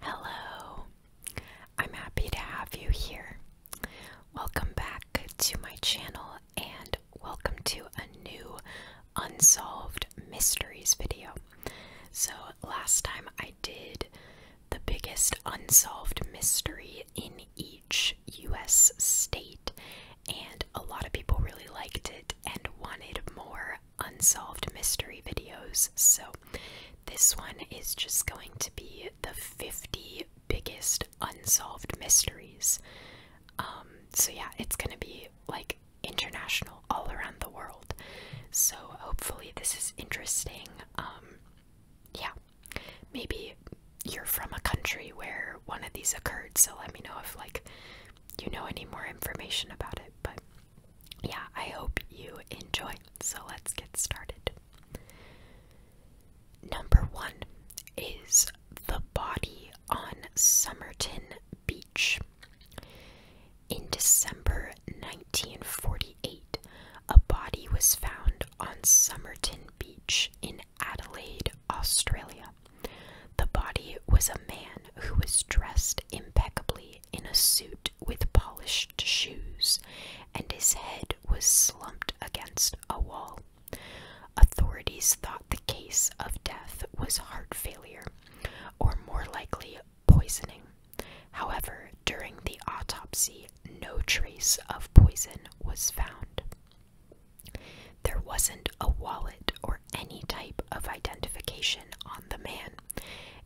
Hello, I'm happy to have you here. Welcome back to my channel and welcome to a new Unsolved Mysteries video. So, last time I did the biggest unsolved mystery in each US state, and a lot of people really liked it and wanted more unsolved mystery videos. So this one is just going to be the 50 biggest unsolved mysteries. Um, so yeah, it's gonna be like international all around the world. So hopefully this is interesting. Um, yeah, maybe you're from a country where one of these occurred, so let me know if like you know any more information about it. But yeah, I hope you enjoy. So let's get started. Number one is the body on Somerton Beach. In December 1948, a body was found on Somerton Beach in Adelaide, Australia. The body was a man who was dressed impeccably in a suit with polished shoes, and his head was slumped against a wall. Authorities thought the case of death was heart failure, or more likely, poisoning. However, during the autopsy, no trace of poison was found. There wasn't a wallet or any type of identification on the man,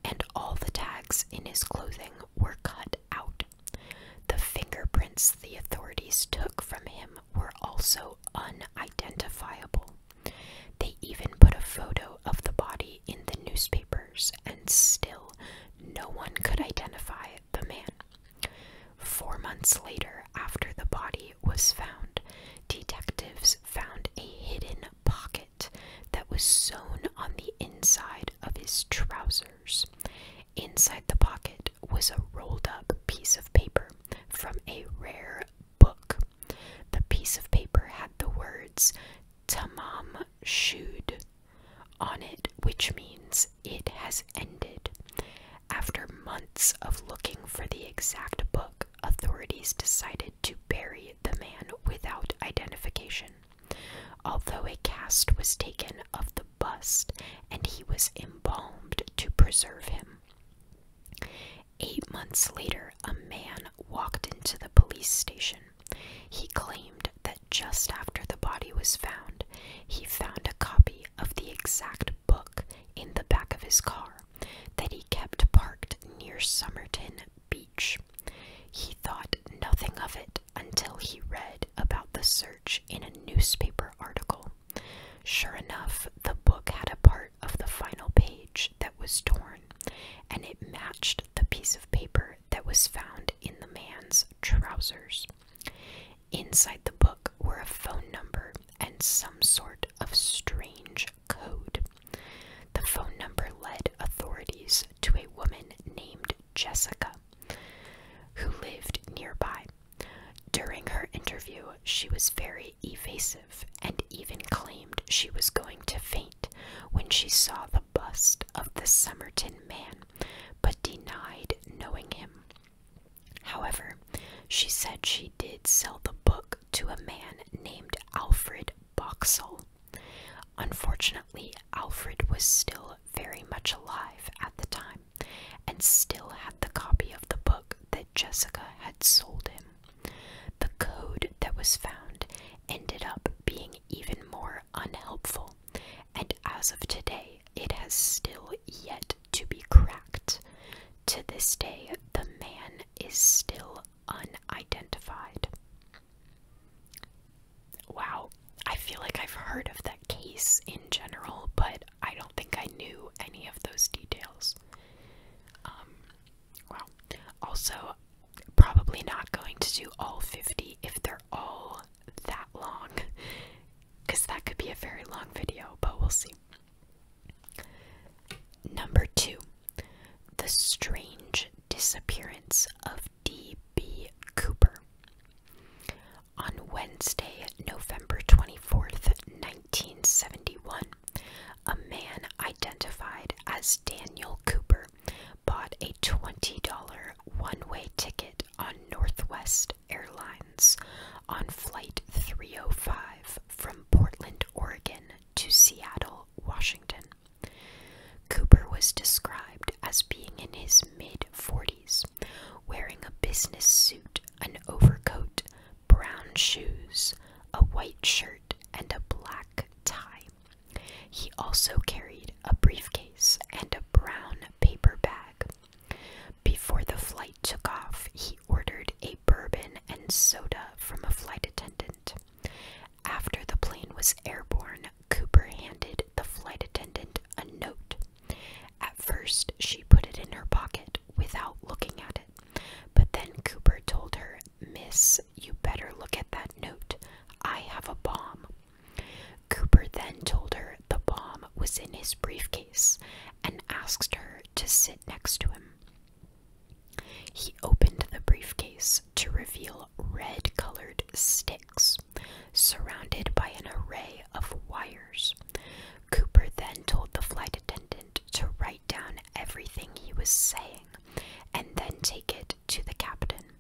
and all the tags in his clothing were cut out. The fingerprints the authorities took from him were also unidentifiable. They even put a photo of the body in the newspapers, and still no one could identify the man. Four months later, after the body was found, detectives found a hidden pocket that was sewn on the inside of his trousers. Inside the pocket was a rolled up piece of paper from a rare book. The piece of paper had the words Tamam Shud on it, which means it has ended. After months of looking for the exact book, authorities decided to bury the man without identification, although a cast was taken of the bust and he was embalmed to preserve him. Eight months later, a man walked into the police station. He claimed that just after the body was found, he found a copy of the exact book in the back of his car that he kept parked near Somerton Beach. He thought nothing of it until he read about the search in a newspaper article. Sure enough, the book had a part of the final page that was torn, and it matched the piece of paper that was found in the man's trousers. Inside the book were a phone number and some sort of strange code. The phone number led authorities to a woman named Jessica, who lived nearby. During her interview, she was very evasive and even claimed she was going to faint when she saw the bust of the Somerton man, but denied knowing him. However, she said she did sell the book to a man named Alfred Boxall. Unfortunately, Alfred was still very much alive at the time and still had the copy of the book that Jessica had sold him. The code that was found ended up being even more unhelpful, and as of today, it has still yet to be cracked. To this day, the man is still unidentified. Wow, I feel like I've heard of that case in general, but I don't think I knew any of those details. Um, wow. Also, probably not going to do all 50 if they're all that long, because that could be a very long video, but we'll see. Number two, the strange disappearance of D.B. Cooper. On Wednesday, November 24th, 1971, a man identified as Daniel Cooper bought a $20 one way ticket on Northwest Airlines on Flight 305 from Portland, Oregon to Seattle, Washington. Cooper was described as being in his mid 40s, wearing a business suit, an overcoat, brown shoes, a white shirt, and a black tie. He also carried a briefcase and a brown paper bag. Before the flight took off, he ordered a bourbon and soda from a flight attendant. After the plane was airborne, Cooper handed the flight attendant a note. At first, she put it in her pocket without looking at it, but then Cooper told her, Miss, you better look at that note. I have a bomb. Cooper then told her the bomb was in his briefcase and asked her to sit next to him. He opened the briefcase to reveal red colored sticks surrounded by an array of wires. Cooper then told the flight attendant to write down everything he was saying and then take it to the captain.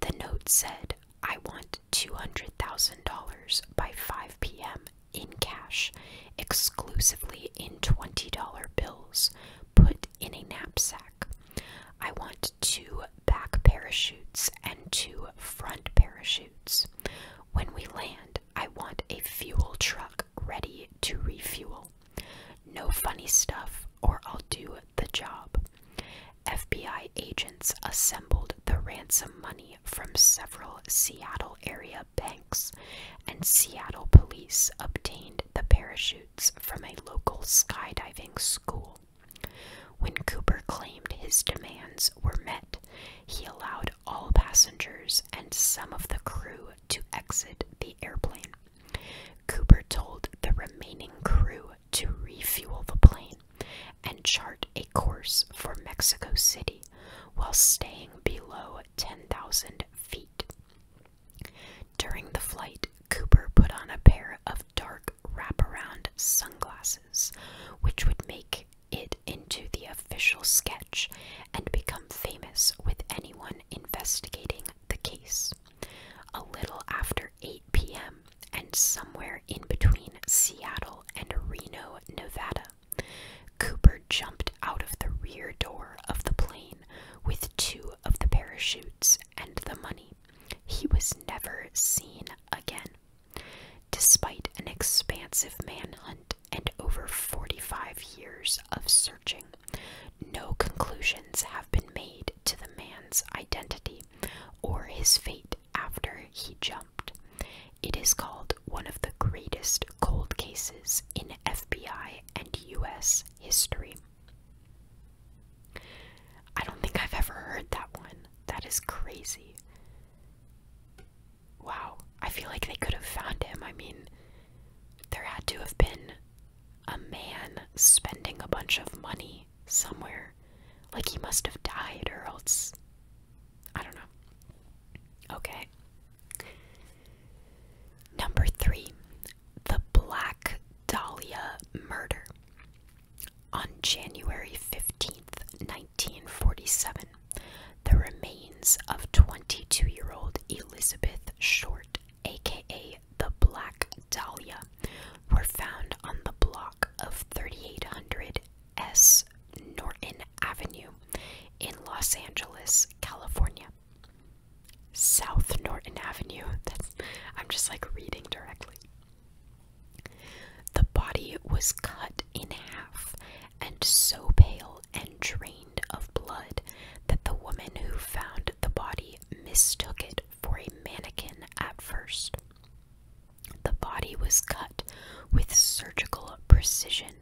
The note said, I want $200,000 by 5 p.m in cash, exclusively in $20 bills, put in a knapsack. I want two back parachutes and two front parachutes. When we land, I want a fuel truck ready to refuel. No funny stuff, or I'll do the job. FBI agents assembled the ransom money from several Seattle area Banks and Seattle police obtained the parachutes from a local skydiving school. When Cooper claimed his demands were met, he allowed all passengers and some of the crew to exit the airplane. Cooper told the remaining crew to refuel the plane and chart a course for Mexico City while staying below 10,000 feet. During the flight, Cooper put on a pair of dark wraparound sunglasses, which would make it into the official sketch and become famous with anyone investigating the case. A little after 8 p.m., and somewhere in between Seattle and Reno, Nevada, Cooper jumped out of the rear door of the plane with two of the parachutes and the money. He was never seen again. Despite an expansive manhunt and over 45 years of searching, no conclusions have been made to the man's identity or his fate after he jumped. It is called one of the greatest cold cases in FBI and US history. I don't think I've ever heard that one. That is crazy. Wow, I feel like they could have found him. I mean, there had to have been a man spending a bunch of money somewhere. Like, he must have died, or else. I don't know. Okay. Number three, the Black Dahlia murder. On January 15th, 1947, the remains of 22 year old Elizabeth Short, aka the Black Dahlia, were found on the block of 3800 S Norton Avenue in Los Angeles, California. South Norton Avenue. That's, I'm just like reading directly. The body was cut in half and so pale and drained of blood that the woman who found the body mistook it for a mannequin at first. The body was cut with surgical precision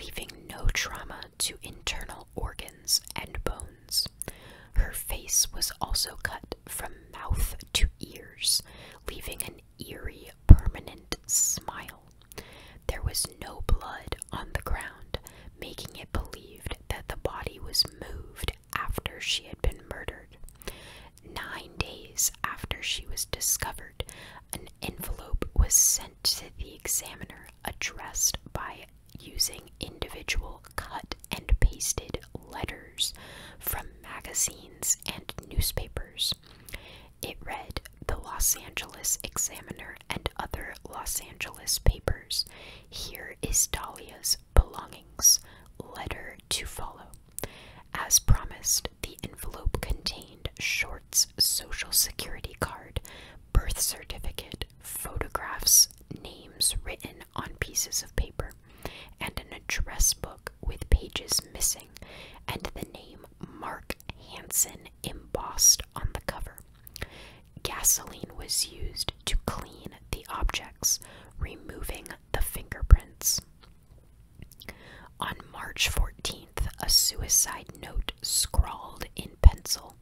leaving no trauma to internal organs and bones. Her face was also cut from mouth to ears, leaving an eerie, permanent smile. There was no blood on the ground, making it believed that the body was moved after she had been murdered. Nine days after she was discovered, an envelope was sent to the examiner addressed by using individual cut and pasted letters from magazines and newspapers. It read The Los Angeles Examiner and other Los Angeles papers. Here is Dahlia's belongings. Letter to follow. As promised, the envelope contained Short's social security card, birth certificate, photographs, names written on pieces of paper, and an address book with pages missing, and the name Mark Hansen embossed on the cover. Gasoline was used to clean the objects, removing the fingerprints. On March 14th, a suicide note scrawled in pencil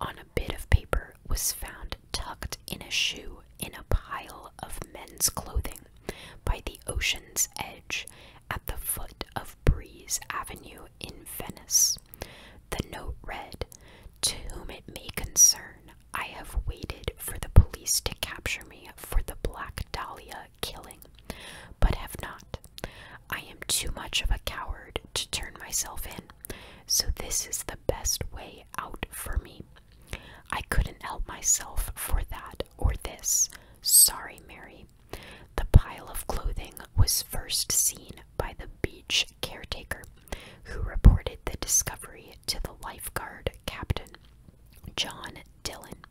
on a bit of paper was found tucked in a shoe in a pile of men's clothing by the ocean's edge at the foot of Breeze Avenue in Venice. The note read, To whom it may concern, I have waited for the police to capture me for the Black Dahlia killing, but have not. I am too much of a coward to turn myself in, so this is the best way out for me. I couldn't help myself for that or this. Sorry, Mary. The pile of clothing was first seen by the beach caretaker, who reported the discovery to the lifeguard captain, John Dylan.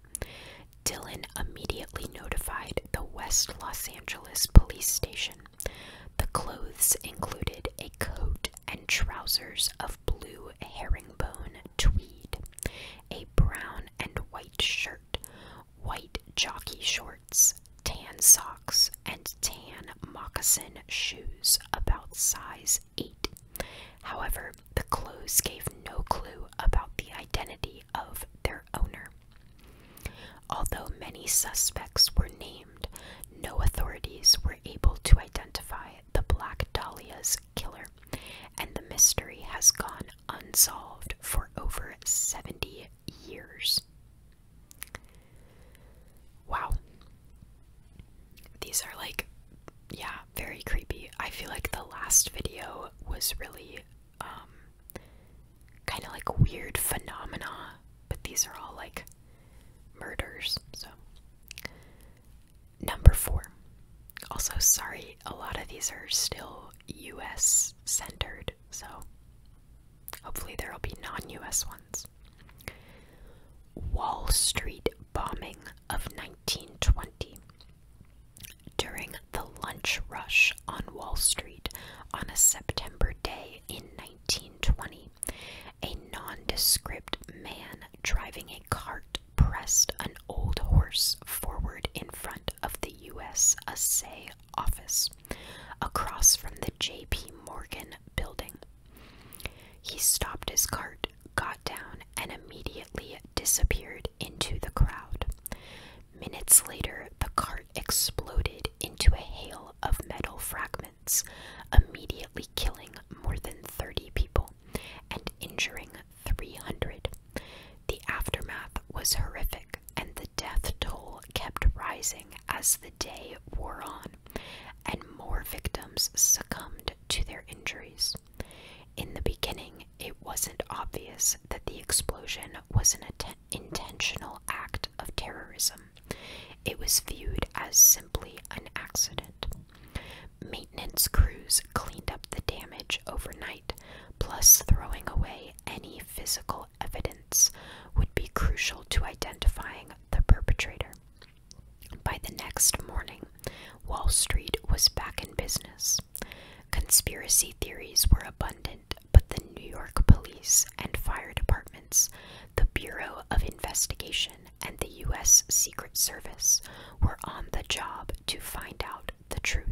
Dylan immediately notified the West Los Angeles police station. The clothes included a coat and trousers of blue herringbone tweed, a brown and white shirt, white jockey shorts, tan socks, and tan moccasin shoes about size 8. However, the clothes gave no clue about the identity of their owner. Although many suspects were named, no authorities were able to identify the Black Dahlia's killer, and the mystery has gone unsolved for over 70 years. Wow. These are like, yeah, very creepy. I feel like the last video was really um, kind of like weird phenomena, but these are all like murders. So number 4. Also sorry, a lot of these are still US centered. So hopefully there'll be non-US ones. Wall Street bombing of 1920. During the lunch rush on Wall Street on a September day in 1920, a nondescript man driving a cart pressed an old horse forward in front of the U.S. Assay office, across from the J.P. Morgan building. He stopped his cart, got down, and immediately disappeared into the crowd. Minutes later, the cart exploded into a hail of metal fragments, immediately killing more than 30 people and injuring 300. The aftermath was horrific, and the death toll kept rising as the day wore on, and more victims succumbed to their injuries. In the beginning, it wasn't obvious that the explosion was an intentional act of terrorism. It was viewed as simply an accident. Maintenance crews cleaned up the damage overnight, plus, throwing away any physical evidence would be crucial to identifying the perpetrator. By the next morning, Wall Street was back in business. Conspiracy theories were abundant, but the New York police and fire departments, the Bureau of Investigation, and the U.S. Secret Service were on the job to find out the truth.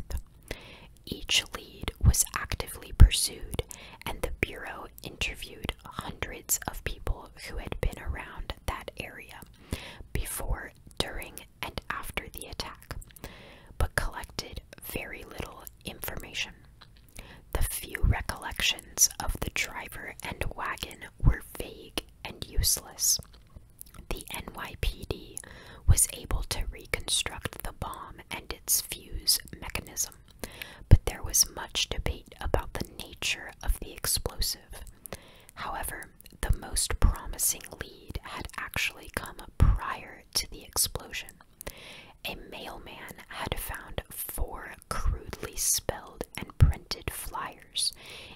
Each lead was actively pursued, and the Bureau interviewed hundreds of people who had been around that area before, during, and after the attack, but collected very little information. The few recollections of the driver and wagon were vague and useless. The NYPD was able to reconstruct the bomb and its fuse mechanism, but there was much debate about the nature of the explosive. However, the most promising lead had actually come prior to the explosion. A mailman had found four crudely spelled and printed flyers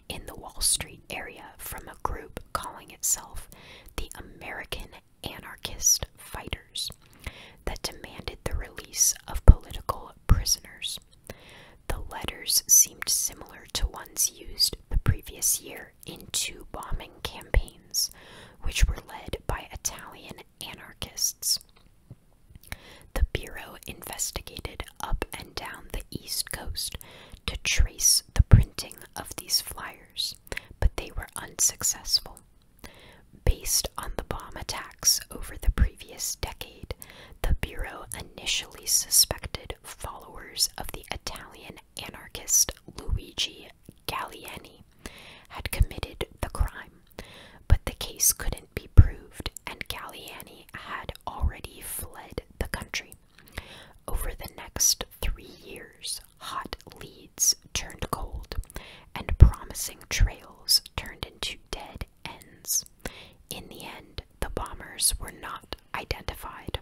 in the Wall Street area from a group calling itself the American Anarchist Fighters that demanded the release of political prisoners. The letters seemed similar to ones used the previous year into bombing campaigns, which were led by Italian anarchists. The Bureau investigated up and down the East Coast to trace the printing of these flyers, but they were unsuccessful. Based on the bomb attacks over the previous decade, the Bureau initially suspected followers of the Italian anarchist Luigi Gallieni had committed the crime, but the case couldn't be proved, and Gallieni had already fled the country. Over the next three years, hot leads turned cold, and promising trails turned into dead ends. In the end, the bombers were not identified.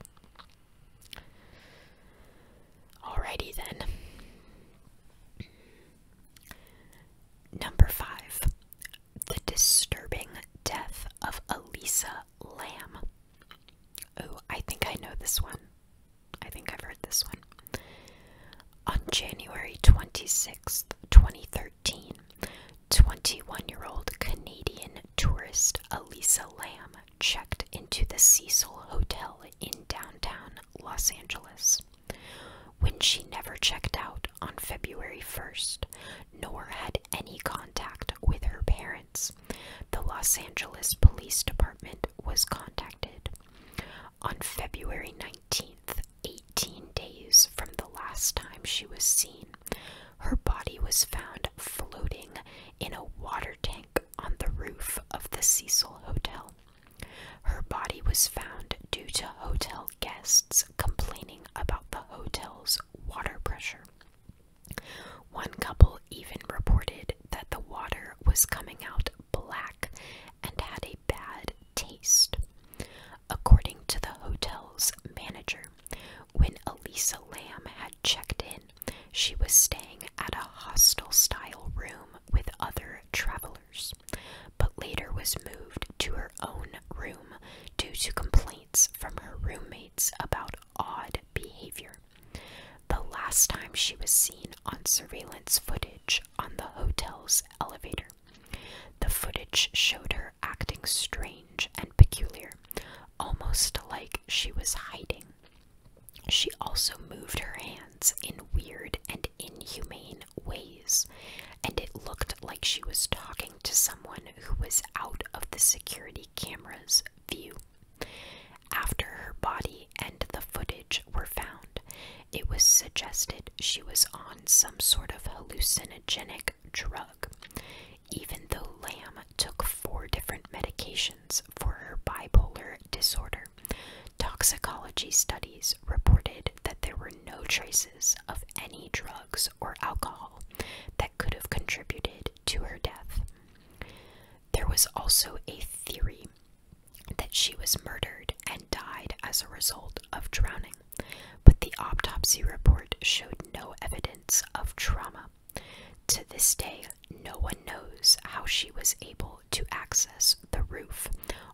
Alrighty then. Number five, the disturbing death of Elisa Lamb. Oh, I think I know this one. I think I've heard this one. On January 26th, 2013, 21 year old Canadian tourist Elisa Lamb checked into the Cecil Hotel in downtown Los Angeles. When she never checked out on February 1st, nor had any contact with her parents, the Los Angeles Police Department was contacted. On February 19th, 18 days from the last time she was seen, her body was found floating in a water tank on the roof of the Cecil Hotel. Her body was found due to hotel guests complaining about the hotel's water pressure. One couple even reported that the water was coming out black and had a bad taste. According to the hotel's manager, when Elisa Lamb had checked in, she was staying at a hostel style room with other travelers, but later was moved to her own room due to complaints from her roommates about odd behavior. The last time she was seen on surveillance footage on the hotel's elevator, the footage showed her acting strange and peculiar, almost like she was hiding. She also moved her hands in weird and inhumane ways, and it looked like she was talking to someone who was out of the security camera's view. After her body and the footage were found, it was suggested she was on some sort of hallucinogenic drug. Even though Lamb took four different medications for her bipolar disorder, toxicology studies reported that there were no traces of any drugs or alcohol that could have contributed to her death. There was also a theory that she was murdered and died as a result of drowning but the autopsy report showed no evidence of trauma. To this day, no one knows how she was able to access the roof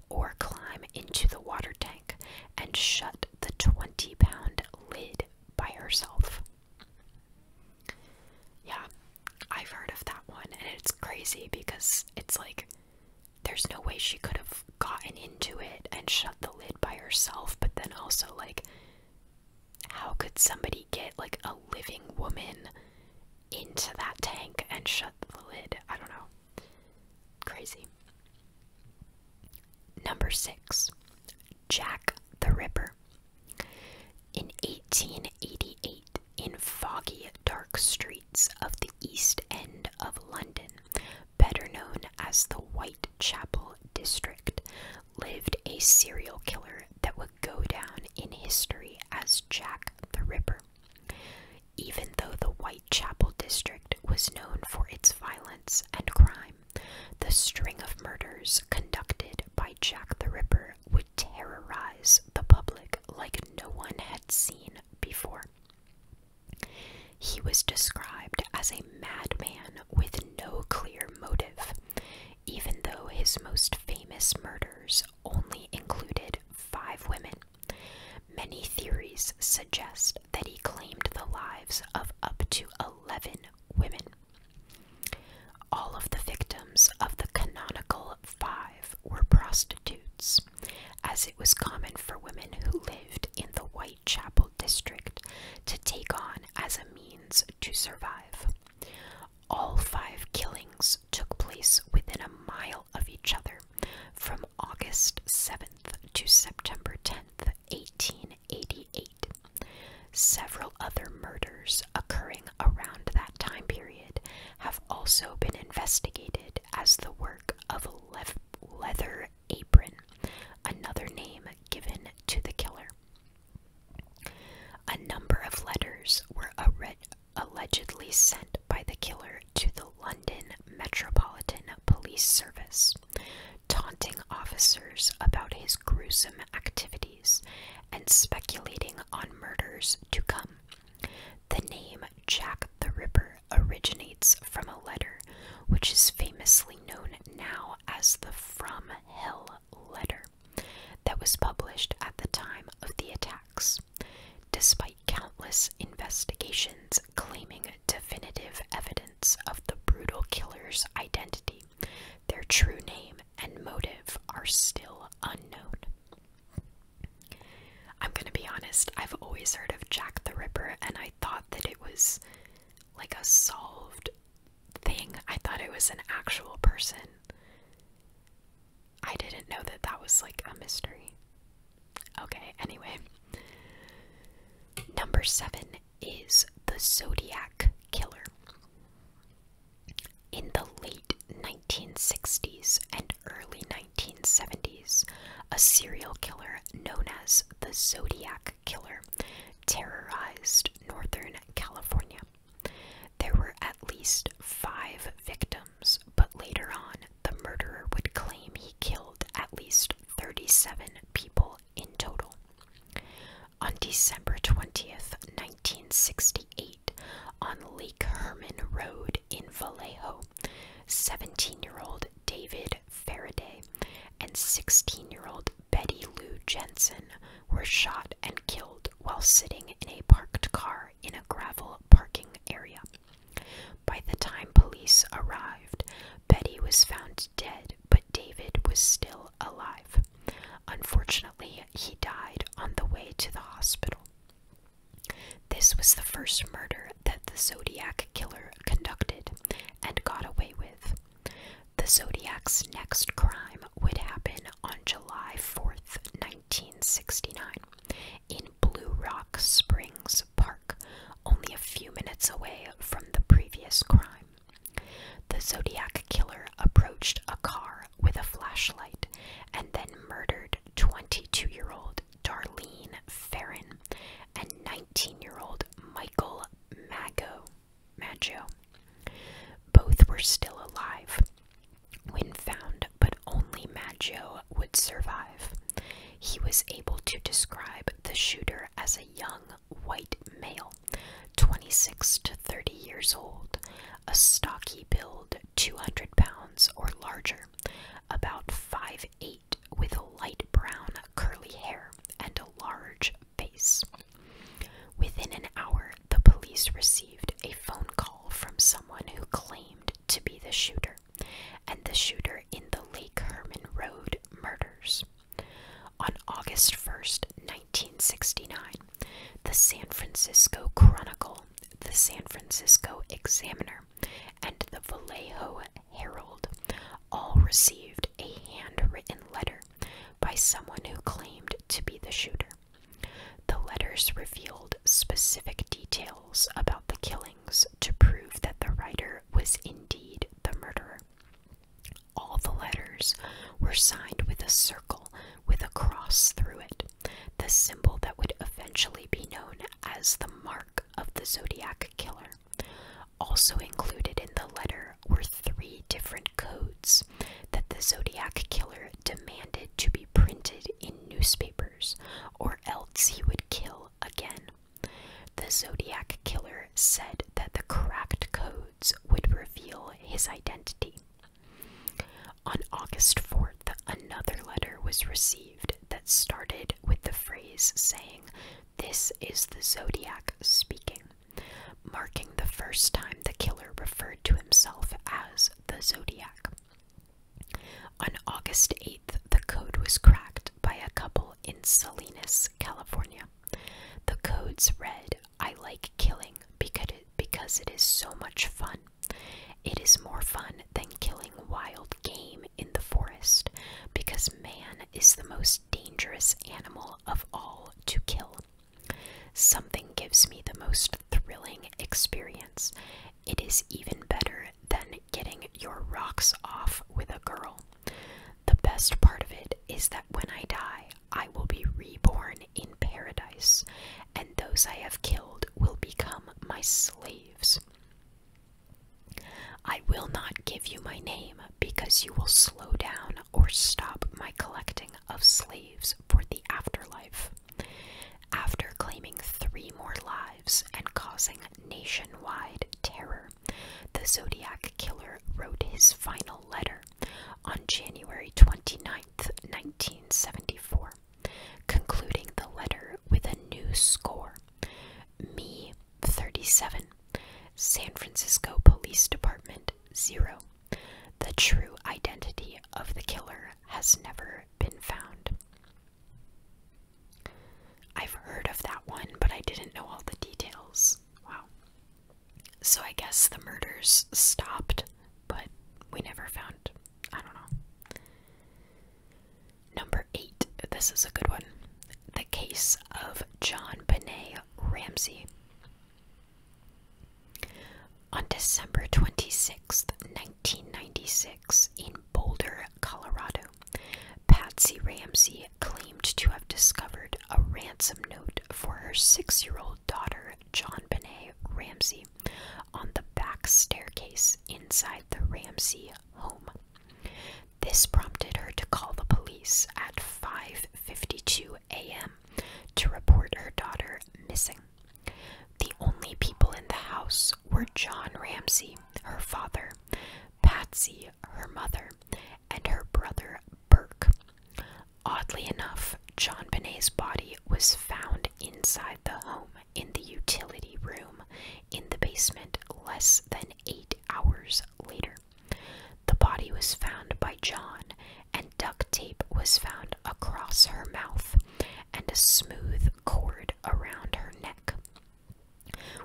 or climb into the water tank and shut the 20 pound lid by herself. Yeah, I've heard of that one, and it's crazy because it's like there's no way she could have gotten into it and shut the lid by herself, but then also, like, how could somebody get like a living woman into that tank and shut the lid? I don't know. Crazy. Number six, Jack the Ripper. In 1888, in foggy, dark streets of the East End of London, better known as the Whitechapel District, lived a serial killer that would go down in history as Jack the Ripper. Even though the Whitechapel District was known for its violence and crime, the string of murders conducted by Jack the Ripper would terrorize the public like no one had seen before. He was described as a madman with no clear motive, even though his most famous murders only included five women. Many theories suggest that he claimed the lives of up to 11 women. All of the victims of the canonical five were prostitutes, as it was common for women who lived in the white Chapel district to take on as a means to survive. All five killings took place within a mile of each other from August 7th to September 10th, 1888. Several other murders occurring around that time period have also been investigated as the work of leather apron, another name given to the killer. A number of letters were allegedly sent by the killer to the London Metropolitan Police Service, taunting officers about his gruesome activities and speculating on murders to come. The name Jack the Ripper originates from a letter which is famously known now as the From Hell letter that was published at the time of the attacks, despite countless investigations claiming definitive evidence of the brutal killer's identity. Their true name and motive are still unknown. I'm gonna be honest, I've always heard of Jack the Ripper, and I thought that it was like a solved thing. I thought it was an actual person. I didn't know that that was like a mystery. Okay, anyway. Number seven is the Zodiac Killer. In the late 1960s and early 1970s, a serial killer known as the Zodiac Killer terrorized Northern California. There were at least five victims, but later on, the murderer would claim he killed at least 37 people in total. On December 20th, 1968, on Lake Herman Road in Vallejo, 17 year old David Faraday and 16 year old Betty Lou Jensen were shot and killed while sitting in a parked car in a gravel parking area. By the time police arrived, Betty was found dead, but David was still alive. Unfortunately, he died on the way to the hospital. This was the first murder that the Zodiac killer conducted and got away with. The Zodiac's next crime would happen on July 4th, 1969, in Blue Rock Springs Park, only a few minutes away from the previous crime. The Zodiac killer approached a car with a flashlight and then murdered 22 year old Darlene Farron, and 19 year old Michael Mago, Maggio. Both were still alive when found, but only Maggio would survive. He was able to describe the shooter as a young white male, 26 to 30 years old, a stocky build, 200 pounds or larger, about 5'8 white with light brown curly hair and a large face. Within an hour, the police received a phone call from someone who claimed to be the shooter and the shooter in the Lake Herman Road murders. On August 1st, 1969, the San Francisco Chronicle, the San Francisco Examiner, and the Vallejo Herald all received a handwritten letter by someone who claimed to be the shooter. The letters revealed specific details about the killings to prove that the writer was indeed the murderer. All the letters were signed with a circle with a cross through it, the symbol that would eventually be known as the mark of the Zodiac Killer. Also included in the letter were three different codes that the Zodiac Killer demanded to be printed in newspapers, or else he would kill again. The Zodiac Killer said that the cracked codes would reveal his identity. On August 4th, another letter was received that started with the phrase saying, this is the Zodiac speaking, marking the first time the killer referred to himself as the Zodiac. On August 8th, the code was cracked by a couple in Salinas, California. The codes read, I like killing because it is so much fun. It is more fun than killing wild game in the forest because man is the most dangerous animal of all to kill. Something gives me the most thrilling experience. It is even better than getting your rocks off with a girl. The best part of it is that when I die, I will be reborn in paradise, and those I have killed will become my slaves. I will not give you my name because you will slow down or stop my collecting of slaves for the afterlife. After claiming three more lives and causing nationwide terror, the Zodiac Killer wrote his final letter on January 29, 1974, concluding the letter with a new score. Me 37, San Francisco Police Department 0. The true identity of the killer has never been found. I've heard of that one, but I didn't know all the details. Wow. So I guess the murders stopped, but we never found. I don't know. Number eight, this is a good one. The case of John Benet Ramsey. On December twenty-sixth, 1996, in Boulder, Colorado, Patsy Ramsey claimed to have discovered a ransom note for her six year old daughter, John Benet Ramsey, on the back staircase inside the Ramsey home. This prompted her to call the police at 5:52 a.m. to report her daughter missing. The only people in the house were John Ramsey, her father, Patsy, her mother, and her brother Burke. Oddly enough, John Binet's body was found inside the home in the utility room in the basement less than eight hours later. The body was found by John, and duct tape was found across her mouth and a smooth cord around her neck.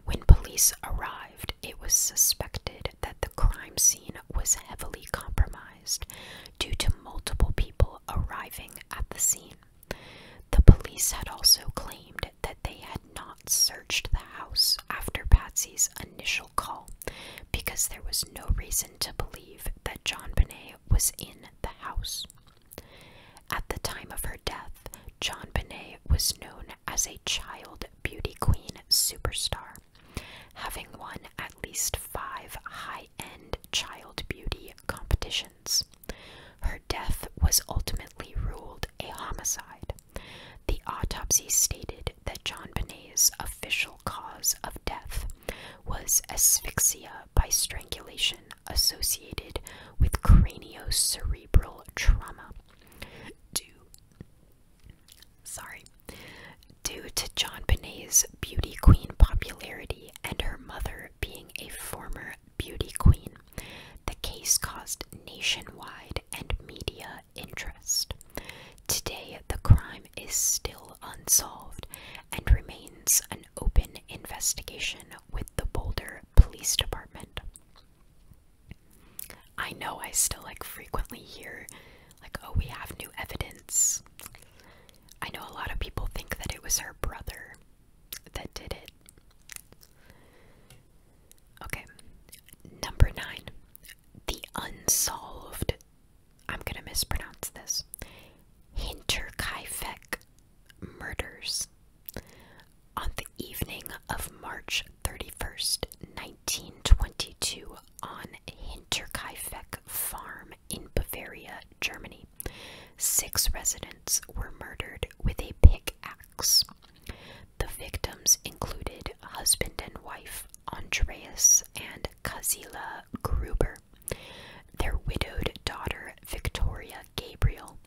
When police arrived, it was suspected that the crime scene was heavily compromised due to multiple people arriving at the scene. The police had also claimed that they had not searched the house after Patsy's initial call because there was no reason to believe that John Binet was in the house. At the time of her death, John Binet was known as a child beauty queen superstar, having won at least five high end child beauty competitions. Her death was ultimately ruled a homicide. The autopsy stated that John Binet's official cause of death was asphyxia by strangulation associated with craniocerebral trauma. Due, sorry, due to John Binet's beauty queen popularity and her mother being a former beauty queen. The case caused nationwide and media interest. Today, the crime is still unsolved and remains an open investigation with the Boulder Police Department. I know I still like frequently hear like oh we have new evidence. I know a lot of people think that it was her brother that did it. Okay, number nine, the unsolved. I'm gonna mispronounce this. Hinterkaifeck murders. On the evening of March 31st, 1922, on Hinterkaifeck Farm in Bavaria, Germany, Six residents were murdered with a pickaxe. The victims included husband and wife Andreas and Kazila Gruber, their widowed daughter Victoria Gabriel,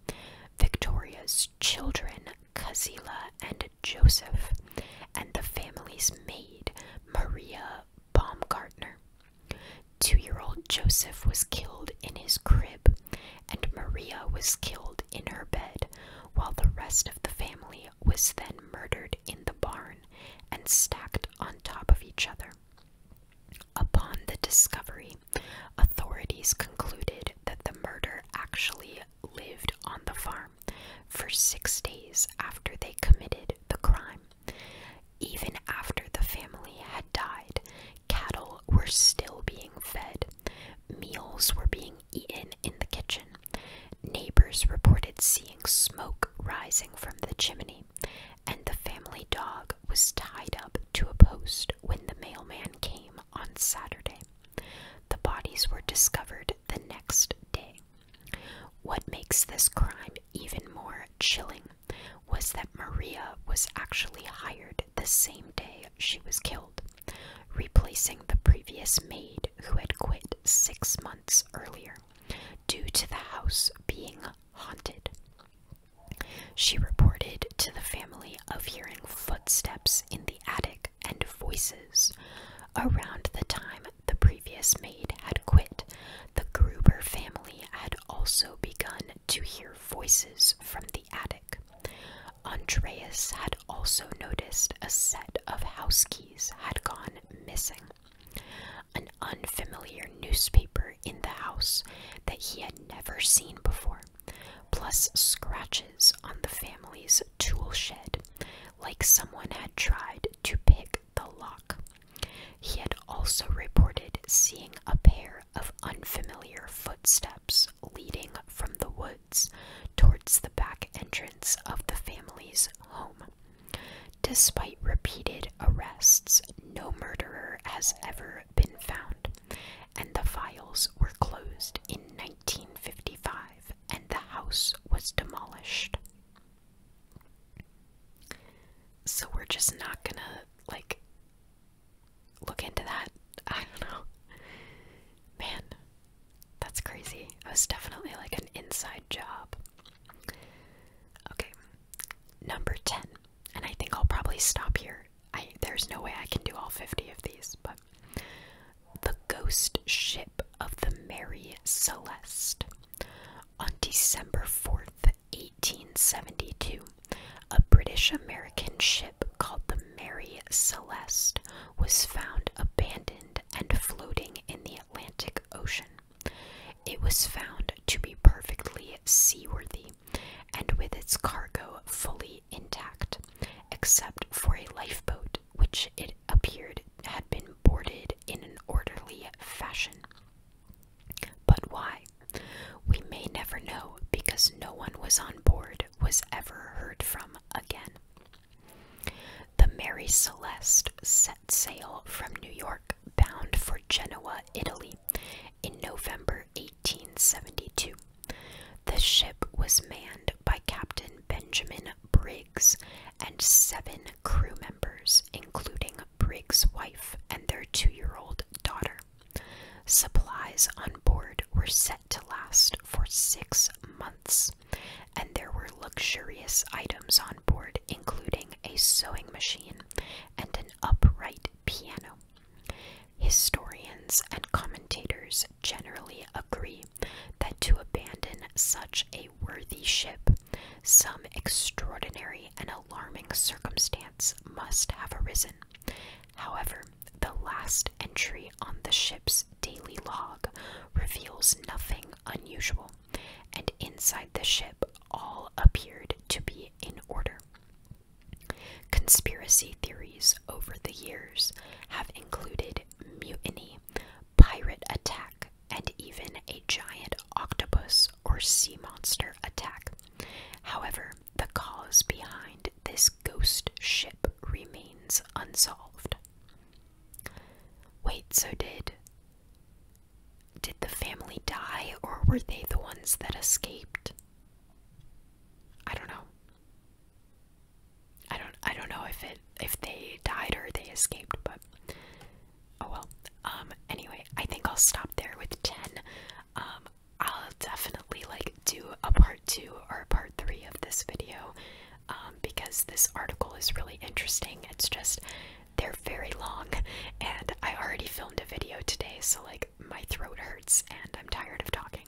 Victoria's children Kazila and Joseph, and the family's maid Maria Baumgartner two year old Joseph was killed in his crib, and Maria was killed in her bed, while the rest of the family was then murdered in the barn and stacked on top of each other. Upon the discovery, authorities concluded that the murder actually lived on the farm for six days after they committed the crime. Even after the family had died, Cattle were still being fed. Meals were being eaten in the kitchen. Neighbors reported seeing smoke rising from the chimney, and the family dog was tied up to a post when the mailman came on Saturday. The bodies were discovered the next day. What makes this crime even more chilling was that Maria was actually hired the same day she was killed, replacing the previous maid who had quit six months earlier due to the house being haunted. She reported to the family of hearing footsteps in the attic and voices around the time the previous maid had quit. The Gruber family had also begun to hear voices from the attic. Andreas had also noticed a set of house keys had gone missing. An unfamiliar newspaper in the house that he had never seen before, plus scratches on the family's tool shed, like someone had tried to pick the lock. He had also reported seeing a pair of unfamiliar footsteps leading from the woods towards the back entrance of the family's home. Despite repeated arrests, no murderer has ever been found, and the files were closed in 1955 and the house was demolished. So we're just not gonna, like, look into that. I don't know. Man, that's crazy. It was definitely like an inside job. Okay, number 10. And I think I'll probably stop here. I, there's no way I can do all 50 of these, but the ghost ship of the Mary Celeste. On December 4th, in 1872, a British American ship called the Mary Celeste was found abandoned and floating in the Atlantic Ocean. It was found to be perfectly seaworthy and with its cargo fully intact, except for a lifeboat which it appeared had been boarded in an orderly fashion. But why? We may never know because no one was on board was ever heard from again. The Mary Celeste set sail from New York bound for Genoa, Italy in November 1872. The ship was manned by Captain Benjamin Briggs and seven crew members, including Briggs' wife and their two year old daughter. Supplies on board were set to last for six months, and there were luxurious items on board, including a sewing machine and an upright piano. Historians and commentators generally agree that to abandon such a worthy ship, some extraordinary an alarming circumstance must have arisen. However, the last entry on the ship's daily log reveals nothing unusual, and inside the ship all appeared to be in order. Conspiracy theories over the years have included mutiny, pirate attack, and even a giant octopus or sea monster attack. However, the cause behind this ghost ship remains unsolved. Wait, so did did the family die or were they the ones that escaped? I don't know. I don't I don't know if it if they died or they escaped, but oh well. Um, anyway, I think I'll stop there with 10. Um, I'll definitely like do a part two or a part three of this video um, because this article is really interesting. It's just they're very long, and I already filmed a video today, so like my throat hurts and I'm tired of talking.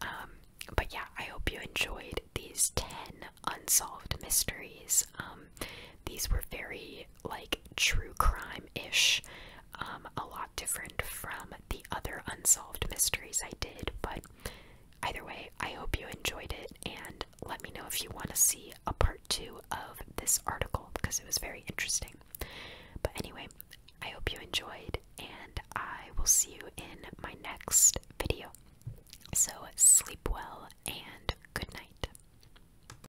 Um, but yeah, I hope you enjoyed these 10 unsolved mysteries. Um, these were very like true crime ish, um, a lot different from the other unsolved mysteries I did. But either way, I hope you enjoyed it and let me know if you want to see a part two of this article because it was very interesting. But anyway, I hope you enjoyed and I will see you in my next video. So sleep well and good night.